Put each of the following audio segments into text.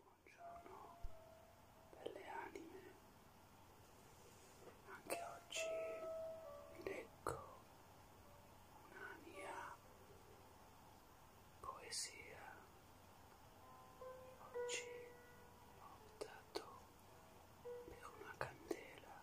Buongiorno belle anime, anche oggi vi leggo una mia poesia. Oggi ho optato per una candela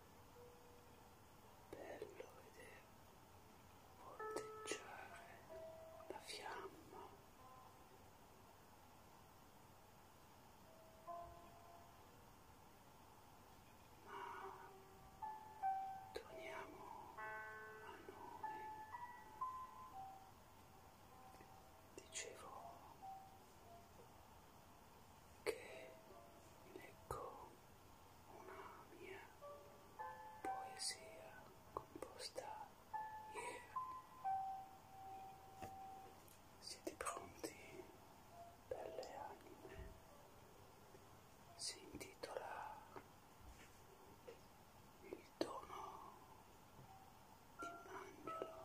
bello vedere volteggiare la fiamma ma torniamo a noi dicevo che leggo una mia poesia composta ieri. Siete pronti per le anime? Si intitola Il dono di un angelo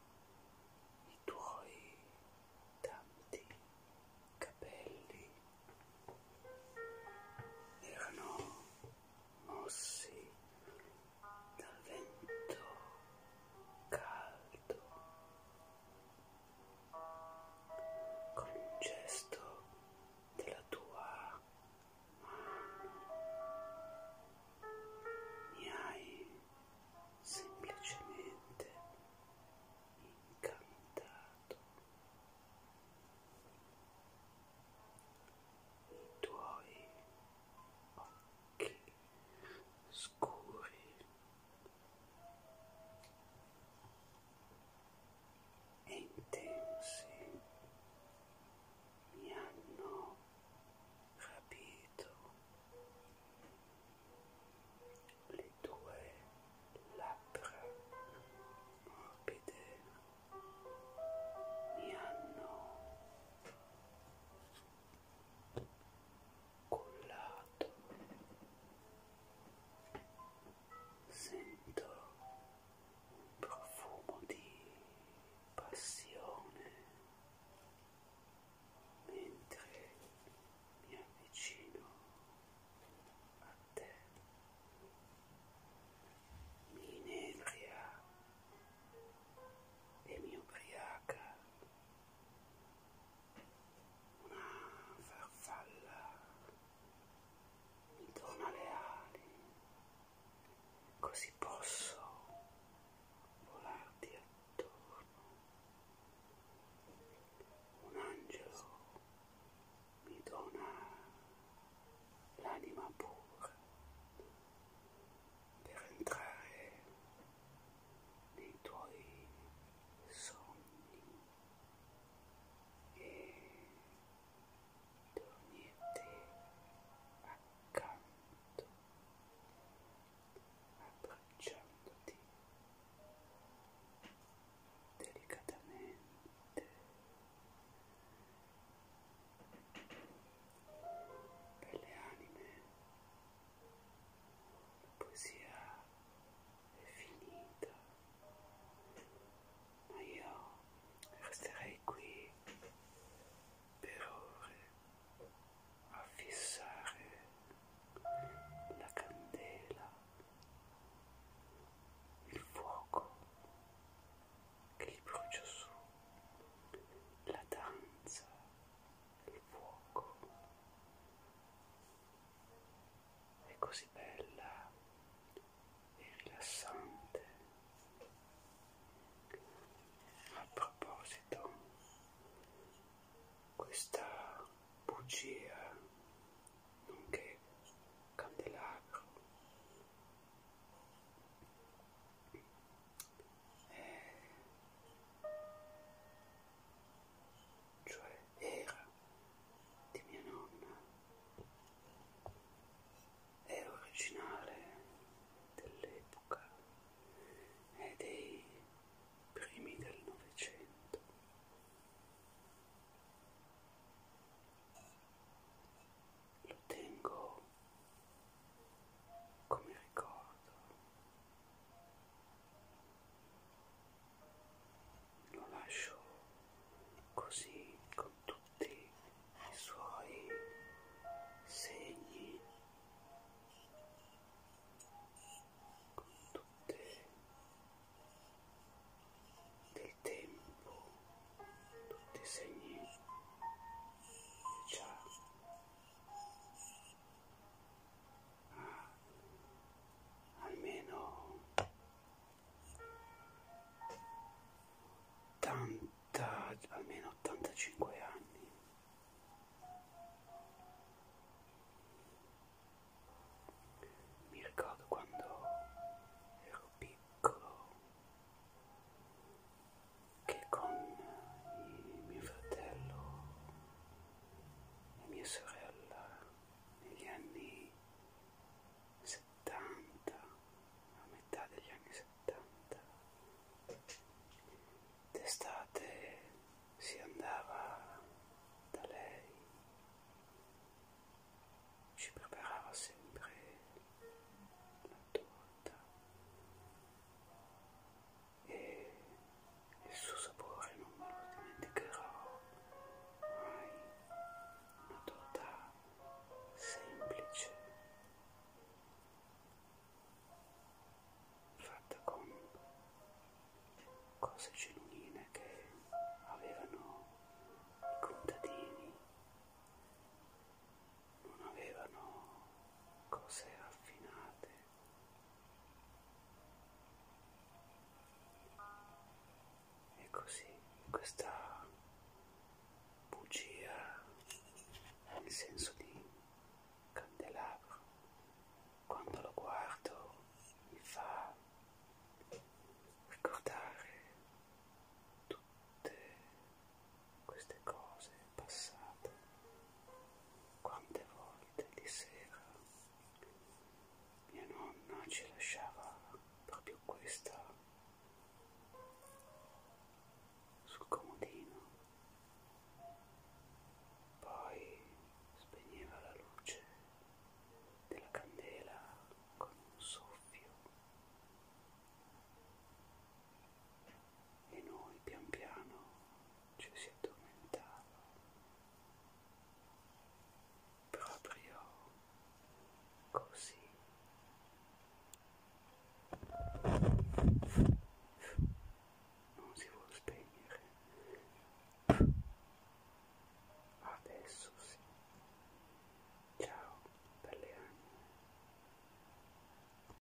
i tuoi tanti capelli erano mossi dal vento caldo con un gesto della tua ma mi hai semplicemente incantato. I tuoi occhi scuri e intensi mi hanno rapito le tue labbra morbide mi hanno collato sento un profumo di passione mentre mi avvicino a te mi inebria e mi ubriaca una farfalla mi dona le ali così posso volarti attorno. Un angelo mi dona l'anima pura per entrare nei tuoi sogni e dormite accanto abbracciandoti delicatamente per le anime la poesia è finita ma io resterei qui per ore a fissare la candela, il fuoco che gli brucia su, la danza, il fuoco. È così bella e rilassante. A proposito, questa bugia, nonché candelabro, è... cioè era di mia nonna, era originale dell'epoca e dei primi del Novecento. Lo tengo come ricordo lo lascio così con tutti i suoi segni con tutte del tempo tutti i segni che già almeno ottanta almeno ottantacinque anni mi ricordo quando ero piccolo che con mio fratello e mia sorella negli anni 70, a metà degli anni 70, d'estate si andava da lei, ci preparava sempre la torta e il suo sapore non me lo dimenticherò mai una torta semplice fatta con cose genuine che avevano i contadini non avevano cose raffinate e così questa bugia nel senso di candelabro quando lo guardo mi fa ricordare tutte queste cose passata, quante volte di sera mia nonna ci lasciava proprio questa sul comodino, poi spegneva la luce della candela con un soffio e noi pian piano ci si addormentava proprio così non si vuole spegnere adesso sì ciao belle anime